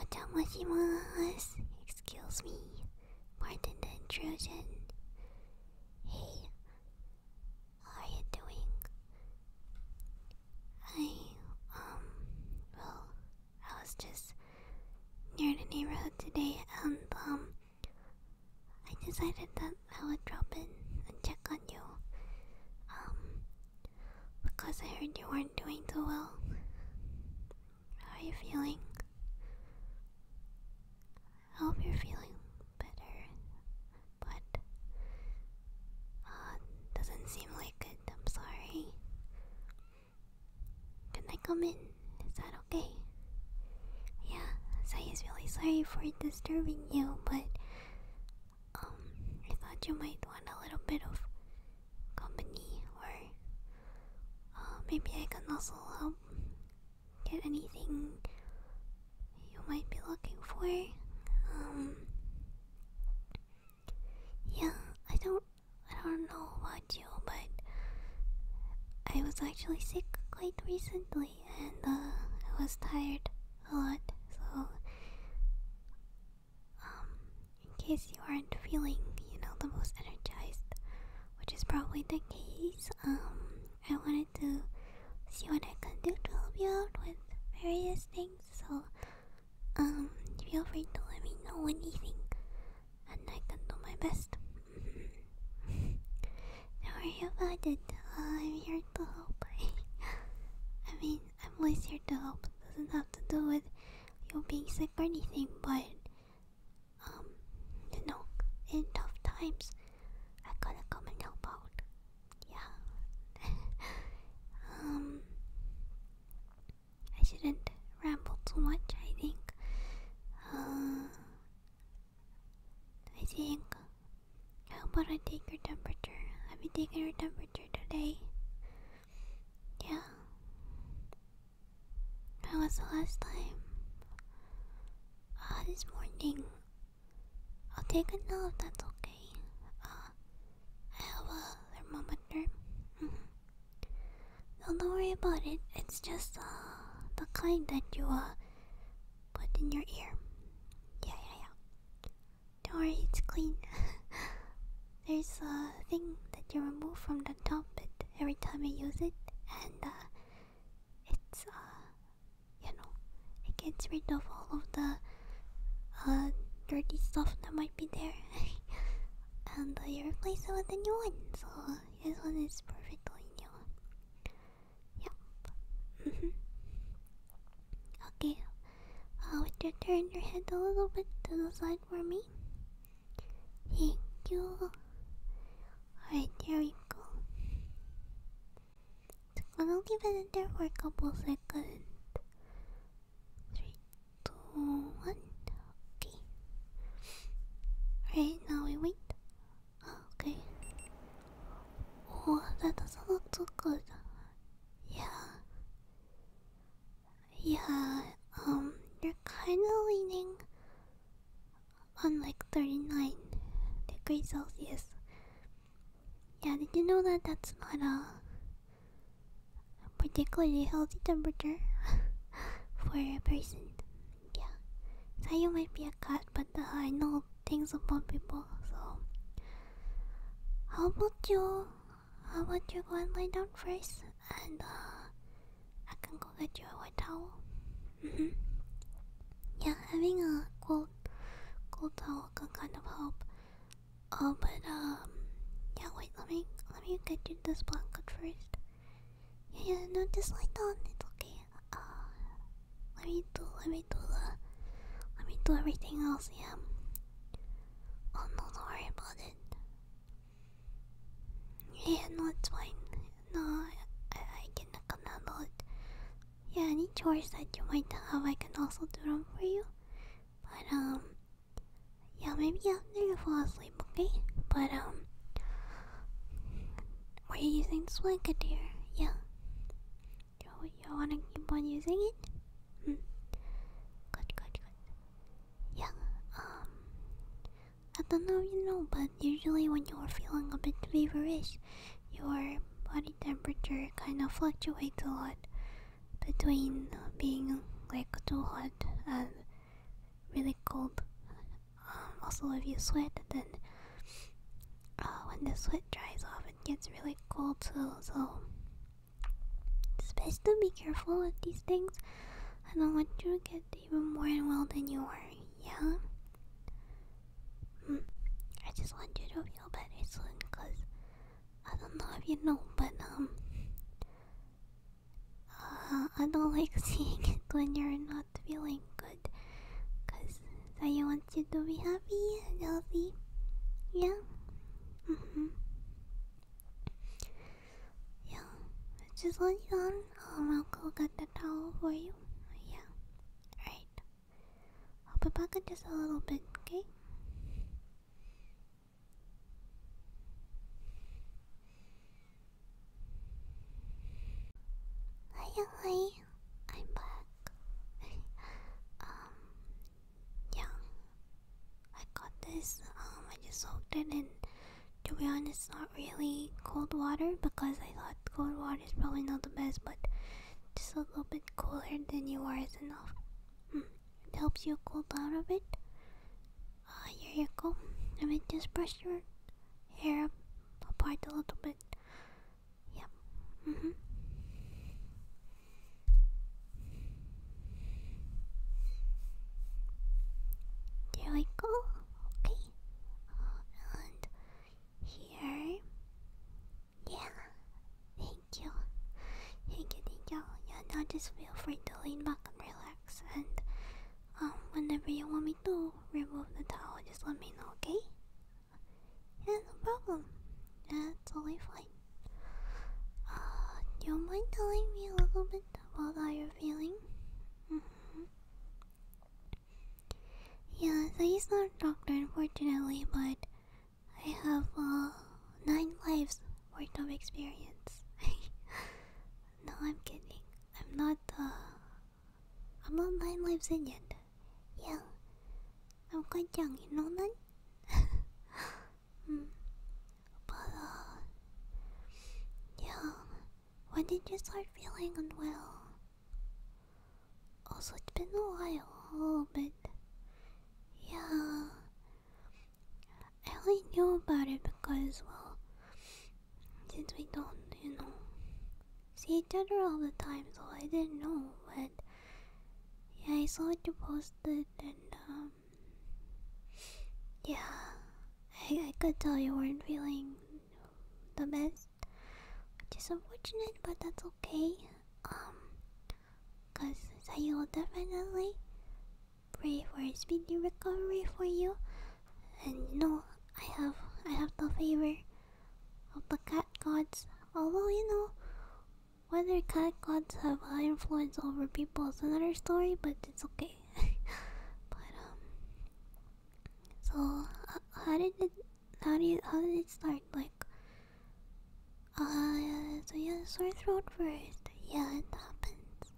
Otamashimasu. Excuse me. Pardon the intrusion. Hey, how are you doing? I, um, well, I was just near the neighborhood today and um I decided that I would drop in and check on you. Um because I heard you weren't doing too well. How are you feeling? I hope you're feeling better. But uh doesn't seem like it, I'm sorry. Can I come in? Is that okay? Yeah, so he's really sorry for disturbing you, but um, I thought you might want a little bit of company, or uh, maybe I can also help get anything you might be looking for. Um, yeah, I don't I don't know about you, but I was actually sick quite recently and uh, I was tired a lot. So, um, in case you aren't feeling, you know, the most energized, which is probably the case, um, I wanted to see what I could do to help you out with various things. So, um, feel free to let me know anything, and I can do my best. Don't worry about it. I'm here to help. I mean, I'm always here to help. doesn't have to do with you being sick or anything, but um, you know, in tough times, I gotta come and help out. Yeah. um. I shouldn't ramble too much, I think. Uh, I think. How about I take your temperature? Have you taken your temperature today? Yeah. When was the last time? Ah, this morning. I'll take a note. that's okay. Uh, have a thermometer. Mm-hmm. Don't worry about it. It's just uh, the kind that you uh, put in your ear. Yeah, yeah, yeah. Don't worry, it's clean. There's a thing that you remove from the top every time you use it, and uh, it's uh, you know, it gets rid of all of the uh, dirty stuff that might be there. and uh, you replace it with a new one, so this one is perfectly new. Yep. Mm-hmm. okay, uh, would you turn your head a little bit to the side for me? Thank you. Alright, there we go. Just gonna leave it in there for a couple seconds. Three, two, one. Okay. Right now we wait. Okay. Oh, that doesn't look too good. Yeah. Yeah. Um, you're kind of leaning on like 39 degrees Celsius. Yeah. Did you know that that's not a particularly healthy temperature for a person. Yeah. So you might be a cut, but uh, I know things about people. So how about you? How about you go and lie down first, and uh, I can go get you a white towel. Mm-hmm. Yeah, having a cold, cold towel can kind of help. Oh, but um, yeah. Wait, let me let me get you this blanket first. Yeah, yeah. No, just lie down. It's okay. Uh, let me do. Let me do the. Let me do everything else. Yeah. Oh don't worry about it. Yeah, no, it's fine. No, I, I can handle it. Yeah, any chores that you might have, I can also do them for you. But um, yeah, maybe I'm after you fall asleep, okay? But, um, are you using this one, Kadir? Yeah. You, you wanna keep on using it? Hmm. Good, good, good. Yeah, um, I don't know if you know, but usually when you're feeling a bit feverish, your body temperature kind of fluctuates a lot between being like too hot and really cold. Um, also, if you sweat, then uh, when the sweat dries off, it gets really cold too. So it's best to be careful with these things. I don't want you to get even more ill than you are. Yeah. Hmm. I just want you to feel better soon, cause I don't know if you know, but um, uh, I don't like seeing it when you're not feeling good, cause I want you to be happy and healthy. Yeah. Mhm. Mm yeah. Just let you on. Um, I'll go get the towel for you. Yeah. All right. I'll be back in just a little bit. Okay. Hi, hi, I'm back. um, yeah, I got this. Um, I just soaked it and To be honest, not really cold water because I thought cold water is probably not the best, but just a little bit cooler than you are is enough. It helps you cool down a bit. Uh, here you go. I mean, just brush your hair apart a little bit. Yep. Mm hmm. There we go. Okay. Uh, and here. Yeah thank you. Thank you, thank you. Yeah, now just feel free to lean back and relax. And um, whenever you want me to remove the towel, just let me know, okay? Yeah, no problem. That's totally fine. Uh, you mind telling me a little bit about how you're feeling? Mm -hmm. Yeah, so he's not a doctor, unfortunately, but I have uh, nine lives worth of experience. no, I'm kidding. I'm not. Uh, I'm not nine lives in yet. Yeah, I'm quite young. You know that. mm. But uh, yeah. When did you start feeling unwell? Also, it's been a while, but yeah, I only knew about it because, well, since we don't, you know, see each other all the time, so I didn't know, but yeah, I saw you posted, and um, yeah, I, I could tell you weren't feeling the best, which is unfortunate, but that's okay. Um, Cause I will definitely pray for a speedy recovery for you. And no, I have I have the favor of the cat gods. Although you know whether cat gods have high influence over people is another story, but it's okay. but um, so how did it how did how did it start? Like back. yeah, uh, so yeah, sore throat first. Yeah, it happens.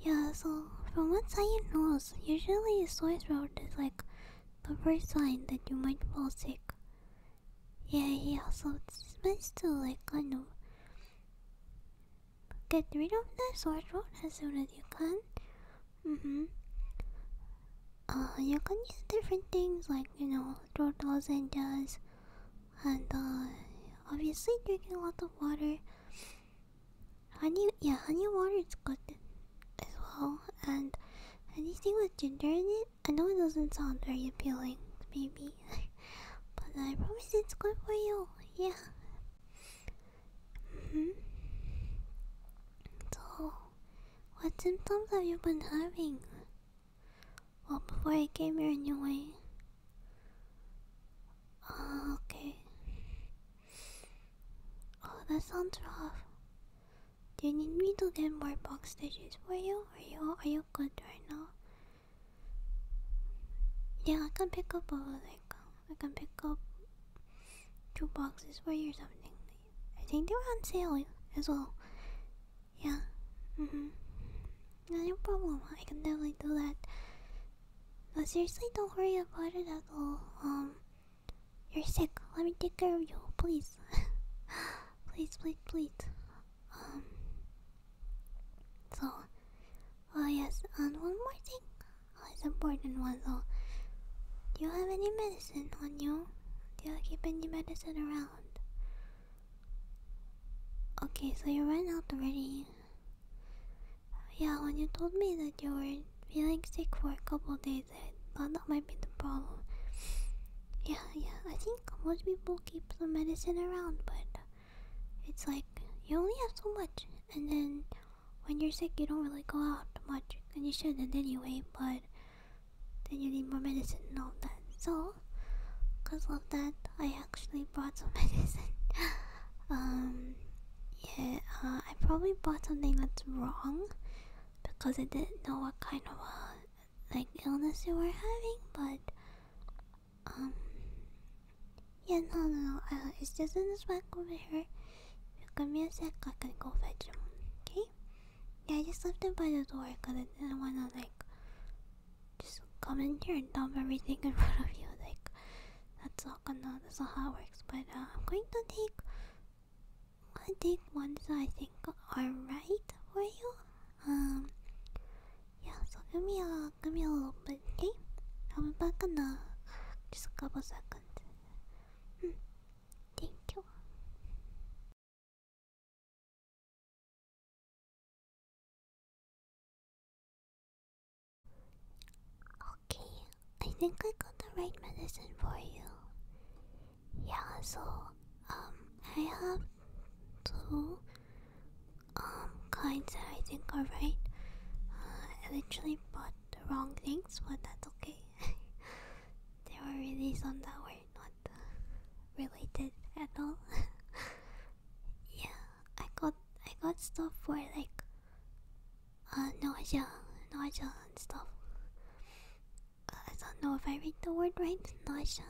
Yeah, so from what I know, usually sore throat is like the first sign that you might fall sick. Yeah, yeah, so it's best to like kind of get rid of the sore throat as soon as you can. Mm hmm uh, you can use different things like you know turtles and jazz uh, and obviously drinking a lot of water honey yeah honey water is good as well and anything with ginger in it i know it doesn't sound very appealing maybe but i promise it's good for you yeah mm-hmm. so what symptoms have you been having? Well, before I came here anyway. Uh, okay. Oh, that sounds rough. Do you need me to get more boxes for you? Are you are you good right now? Yeah, I can pick up a like I can pick up two boxes for you or something. I think they were on sale as well. Yeah. Mm-hmm. No problem. I can definitely do that. But seriously, don't worry about it at all. Um, you're sick. Let me take care of you, please. please, please, please. Um. So, oh yes, and one more thing. Oh, it's important one though. Do you have any medicine on you? Do you keep any medicine around? Okay, so you ran out already. Yeah, when you told me that you were feeling sick for a couple days, I thought that might be the problem. Yeah, yeah, I think most people keep some medicine around, but it's like you only have so much, and then when you're sick, you don't really go out much, and you shouldn't anyway, but then you need more medicine and all that. So, because of that, I actually bought some medicine. um, yeah, uh, I probably bought something that's wrong because I didn't know what kind of uh, like illness you were having, but um, yeah, no, no, no, uh, it's just in this back over here. you give me a sec, I can go fetch it. Okay. Yeah, I just left it by the door because I didn't want to, like, just come in here and dump everything in front of you. Like, that's not gonna, that's not how it works. But uh, I'm going to take, i take ones that I think are right for you. Um, yeah, so give me a, give me a little bit, okay? i back in uh, just couple seconds. Hmm. Thank you. Okay, I think I got the right medicine for you. Yeah, so um I have two um kinds that I think are right. Uh, I literally bought the wrong things, but that's okay. there were really some that were not uh, related at all. yeah, I got I got stuff for like uh, nausea, nausea and stuff. Uh, I don't know if I read the word right, nausea,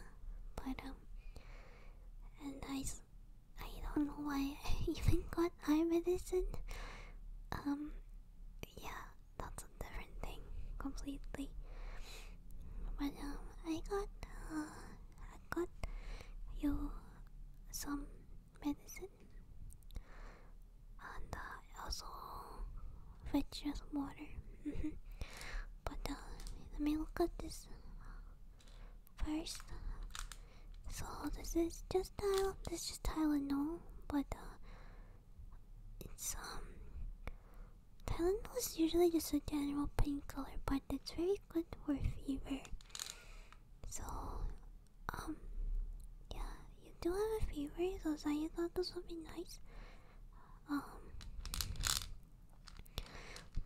but um, and I, I don't know why I even got eye medicine. Um, yeah, that's a different thing completely. But um, I got, uh, I got you some medicine, and uh, also fetch you some water. Mm-hmm. but uh, let me look at this first. So this is just Tylenol. This is Tylenol, but uh, it's um Thailand is usually just a general color, but it's very good for fever. So um yeah, you do have a fever, so I thought this would be nice. Um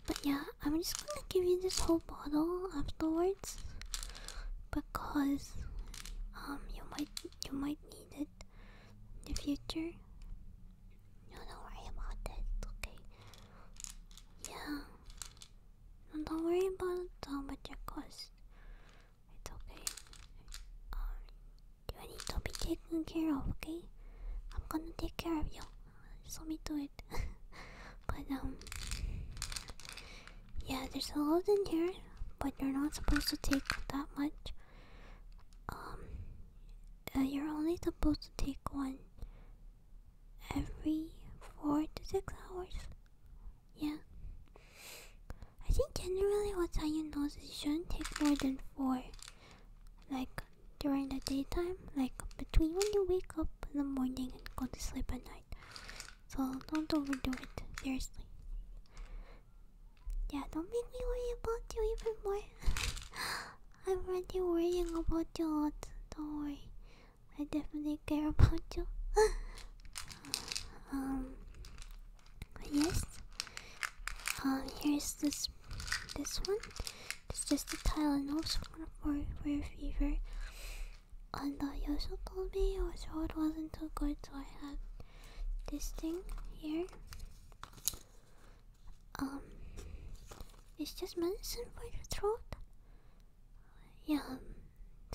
But yeah, I'm just gonna give you this whole bottle afterwards because um you might you might need it in the future. don't worry about it. Okay. Yeah. don't worry about how much it costs. It's okay. Um, you need to be taken care of. Okay. I'm gonna take care of you. Just let me do it. but um, yeah, there's a lot in here, but you're not supposed to take that much. Um, uh, you're only supposed to take one every four to six hours. Yeah. I think generally what Scion knows is you shouldn't take more than four. Like during the daytime, like between when you wake up in the morning and go to sleep at night. So don't overdo it, seriously. Yeah, don't make me worry about you even more. I'm already worrying about you a lot. Don't worry. I definitely care about you. um yes. Um here's this this one. It's just a tile Tylenol for for your fever and uh, you also told me your sword wasn't too good, so I had this thing here. Um, it's just medicine for the throat. Yeah. Um,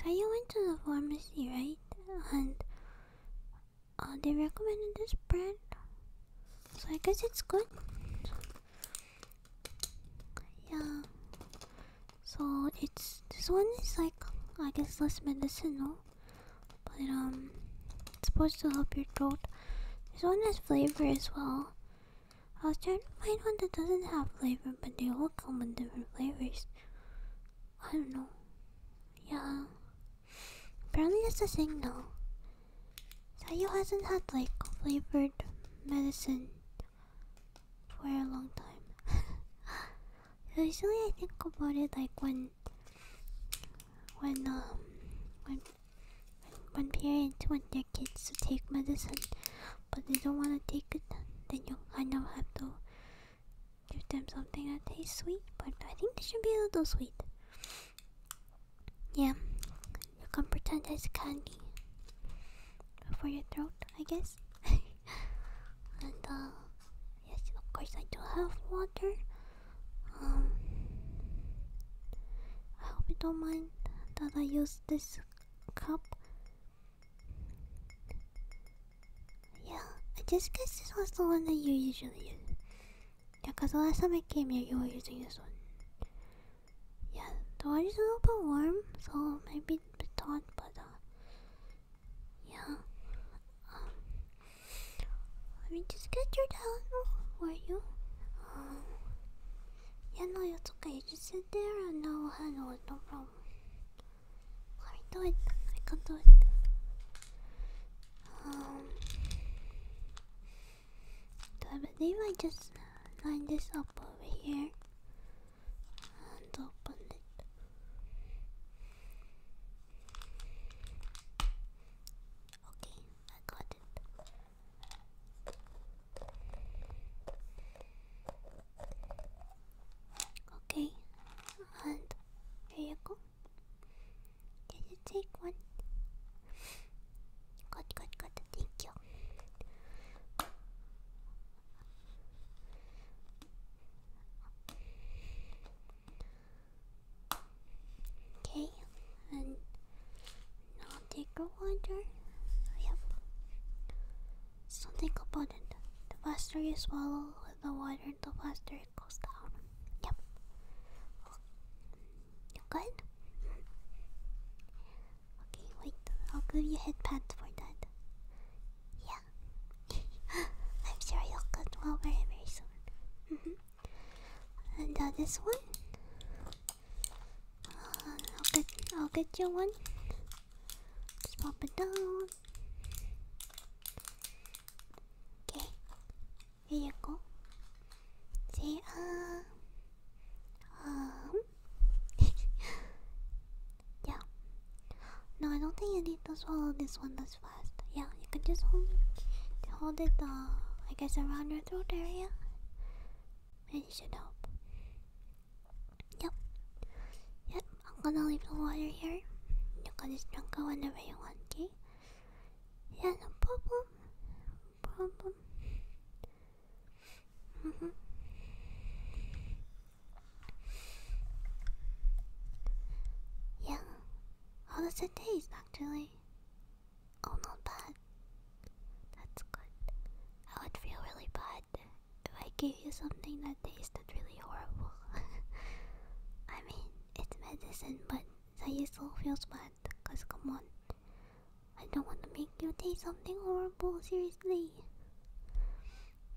so you went to the pharmacy, right? And uh, they recommended this brand, so I guess it's good. Yeah. So it's this one is like I guess less medicinal, but um, it's supposed to help your throat. This one has flavor as well. I was trying to find one that doesn't have flavor, but they all come in different flavors. I don't know. Yeah. Apparently it's the thing now. Sayu hasn't had like flavored medicine for a long time. Usually, I think about it like when, when um, when, when parents want their kids to take medicine, but they don't want to take it, then you kind of have to give them something that tastes sweet. But I think they should be a little sweet. Yeah, you can pretend it's candy for your throat, I guess. and uh, yes, of course I do have water. Um, I hope you don't mind that I use this cup. Yeah, I just guess this was the one that you usually use. Yeah, cause the last time I came here, you were using this one. Yeah, the water's a little bit warm, so maybe been baton, but uh, yeah. Um, let me just get your towel for you. Um, yeah, no, it's okay. You just sit there and I'll handle it. No problem. Let me do it. I can do it. Um, so I believe just line this up over here and open it. Okay, I got it. Okay, and here you go. Did you take one? Good, good, good. Thank you. Okay, and now take a water. Yep. Something about it. The faster you swallow the water, the faster it goes down. Yep. good? Okay, wait. I'll give you a head pat for that. Yeah. I'm sure you'll get well very, very soon. Mm -hmm. And uh, this one, uh, I'll get, I'll get you one. Just pop it down. Okay, There you go. See uh, um, yeah. No, I don't think you need to swallow this one this fast. Yeah, you can just hold it, hold it, uh, I guess around your throat area. And it should help. Yep. Yep, I'm gonna leave the water here. You can just drink it whenever you want, okay? Yeah, no problem. problem. Mm -hmm. Yeah, how does it taste actually? Oh, not bad. That's good. I would feel really bad if I gave you something that tasted really horrible. I mean, it's medicine, but I still feel bad, cause come on. I don't want to make you taste something horrible, seriously.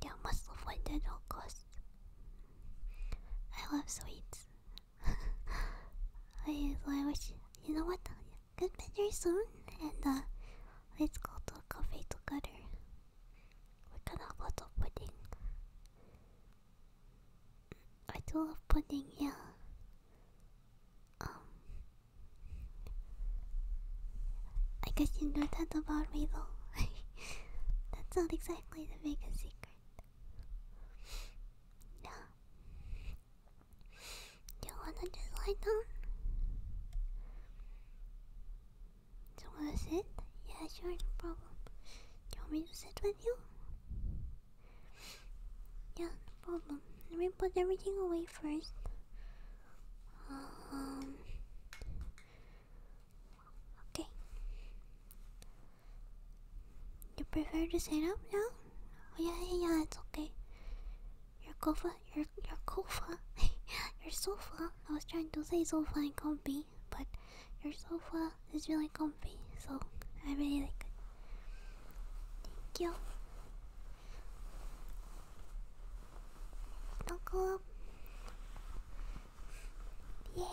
Yeah, must avoid that at all costs. I love sweets. I, wish, you know what, get better soon and uh, let's go to a cafe together. We can have a lot of pudding. I do love pudding, yeah. Um, I guess you know that about me though. That's not exactly the biggest secret. No. Do you wanna just lie down? Do you wanna sit? Yeah, sure, no problem. Do you want me to sit with you? Yeah, no problem. Let me put everything away first. Um, okay. You prefer to sit up now? Oh yeah, yeah, yeah. It's okay. Your sofa, your your sofa, your sofa. I was trying to say sofa and comfy, but your sofa is really comfy, so I really like it. Thank you. なんかイエーイ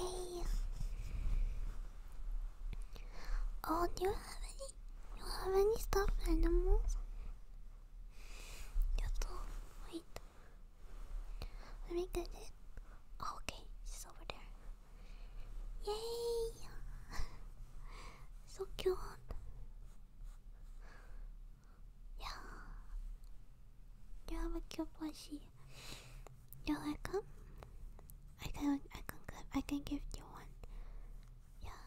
Oh, do you have any? You have any stuffed animals? やっと wait. Let me get it. Oh, okay, she's over there. Yay! so cute. Yeah. You have a cute plushie. You like I can I can I can give you one. Yeah.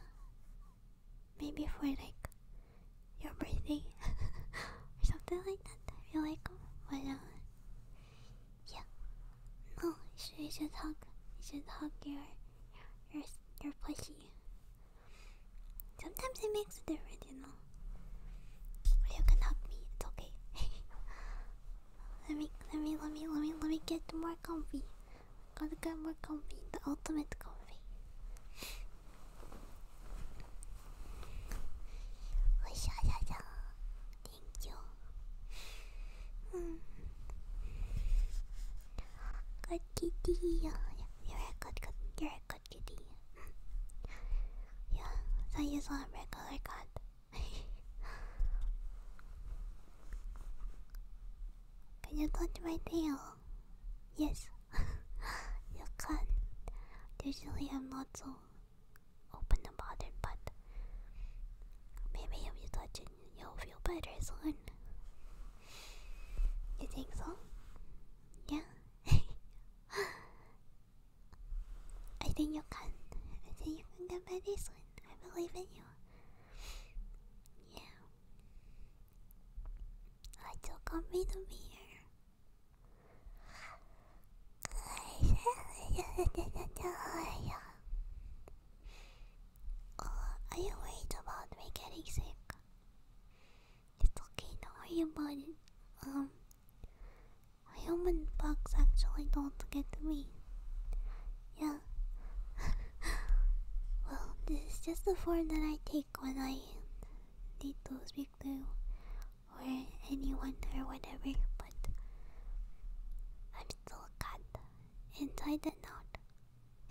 Maybe for like your birthday or something like that. If you like them, but uh, yeah. No, you should, you should hug. You should hug your you're, you're pushy. Sometimes it makes a difference, you know. Or you can hug me. It's okay. let me, let me, let me, let me, let me get more comfy. Gotta get more comfy. The ultimate comfy. Oh, yeah, yeah, yeah. Thank you. Hmm. Good kitty. Yeah, you're a good, good, you're a good kitty. yeah, so you saw a regular cat. can you touch my tail? Yes, you can. Usually I'm not so open about it, but maybe if you touch it, You'll feel better soon. You think so? Yeah? I think you can. I think you can get better soon. I believe in you. Yeah. I took a bit uh, are you worried about me getting sick? It's okay, don't worry about it. Um, human bugs actually don't get me. Yeah. well, this is just the form that I take when I need to speak to or anyone or whatever, but I'm still a inside and out.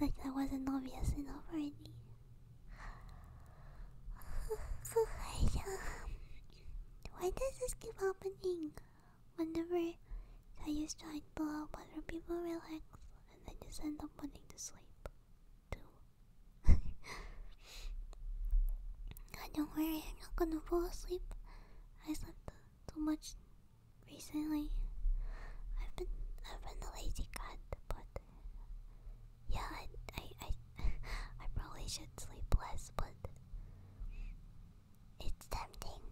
like that wasn't obvious enough already. Um, why does this keep happening? Whenever I used to trying to help other people relax, and I just end up wanting to sleep too. don't worry, I'm not gonna fall asleep. I slept too much recently. I've been I've been a lazy cat, but yeah, I I I, probably should sleep less, but it's tempting.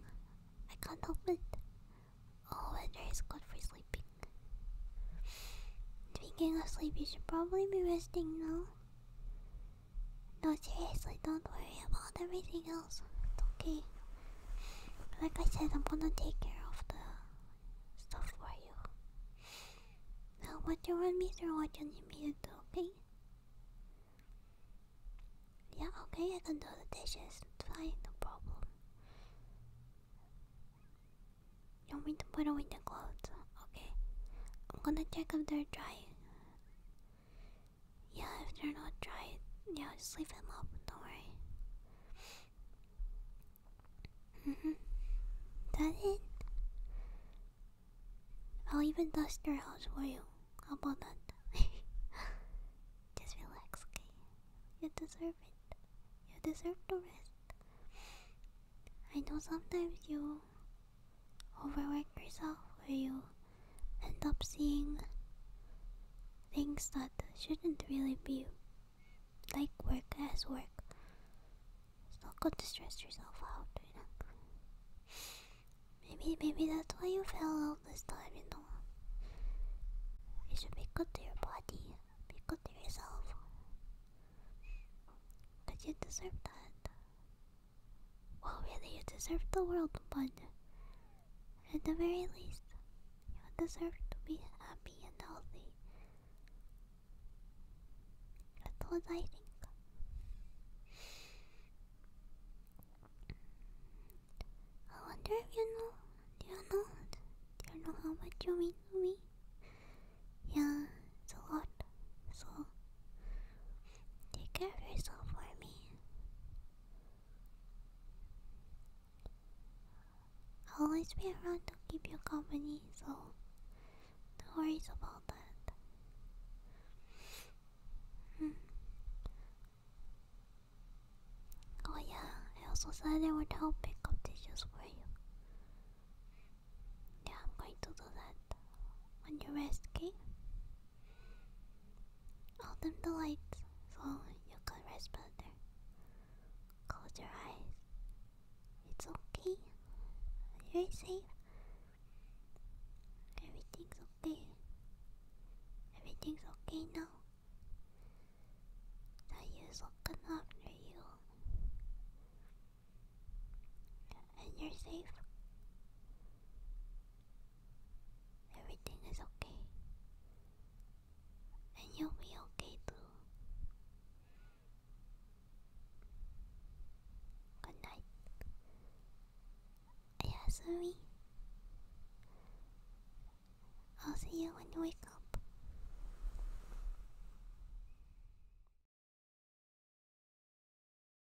I can't help it. All weather is good for sleeping. Speaking of sleep, you should probably be resting now. No, seriously, don't worry about everything else. It's okay. Like I said, I'm gonna take care of the stuff for you. Now, what you want me to do, what you need me to do, okay? Yeah, okay, I can do the dishes. fine, no problem. You want me to put away the clothes? Okay. I'm gonna check if they're dry. Yeah, if they're not dry, yeah, just leave them up, don't worry. Mm hmm. That it? I'll even dust your house for you. How about that? Just relax, okay? You deserve it. You deserve the rest. I know sometimes you overwork yourself where you end up seeing things that shouldn't really be like work as work. It's not good to stress yourself out, Maybe maybe that's why you fell out this time, you know. You should be good to your body, be good to yourself. Cause you deserve that. Well, really, you deserve the world, but at the very least, you deserve to be happy and healthy. That's what I think. I wonder if you know, do you know, do you know how much you mean to me? Yeah, it's a lot, so Take care of yourself for me. I'll always be around to keep you company, so don't worry about that. Hmm. Oh yeah, I also said I would help pick up dishes for you. Yeah, I'm going to do that. On your rest, okay? I'll dim the lights so you can rest better. Close your eyes. It's okay. You're safe. Everything's okay. Everything's okay now. Sayu's looking after you. And you're safe. Everything is okay. And you'll be okay too. Good night. Yeah, I'll see you when you wake up.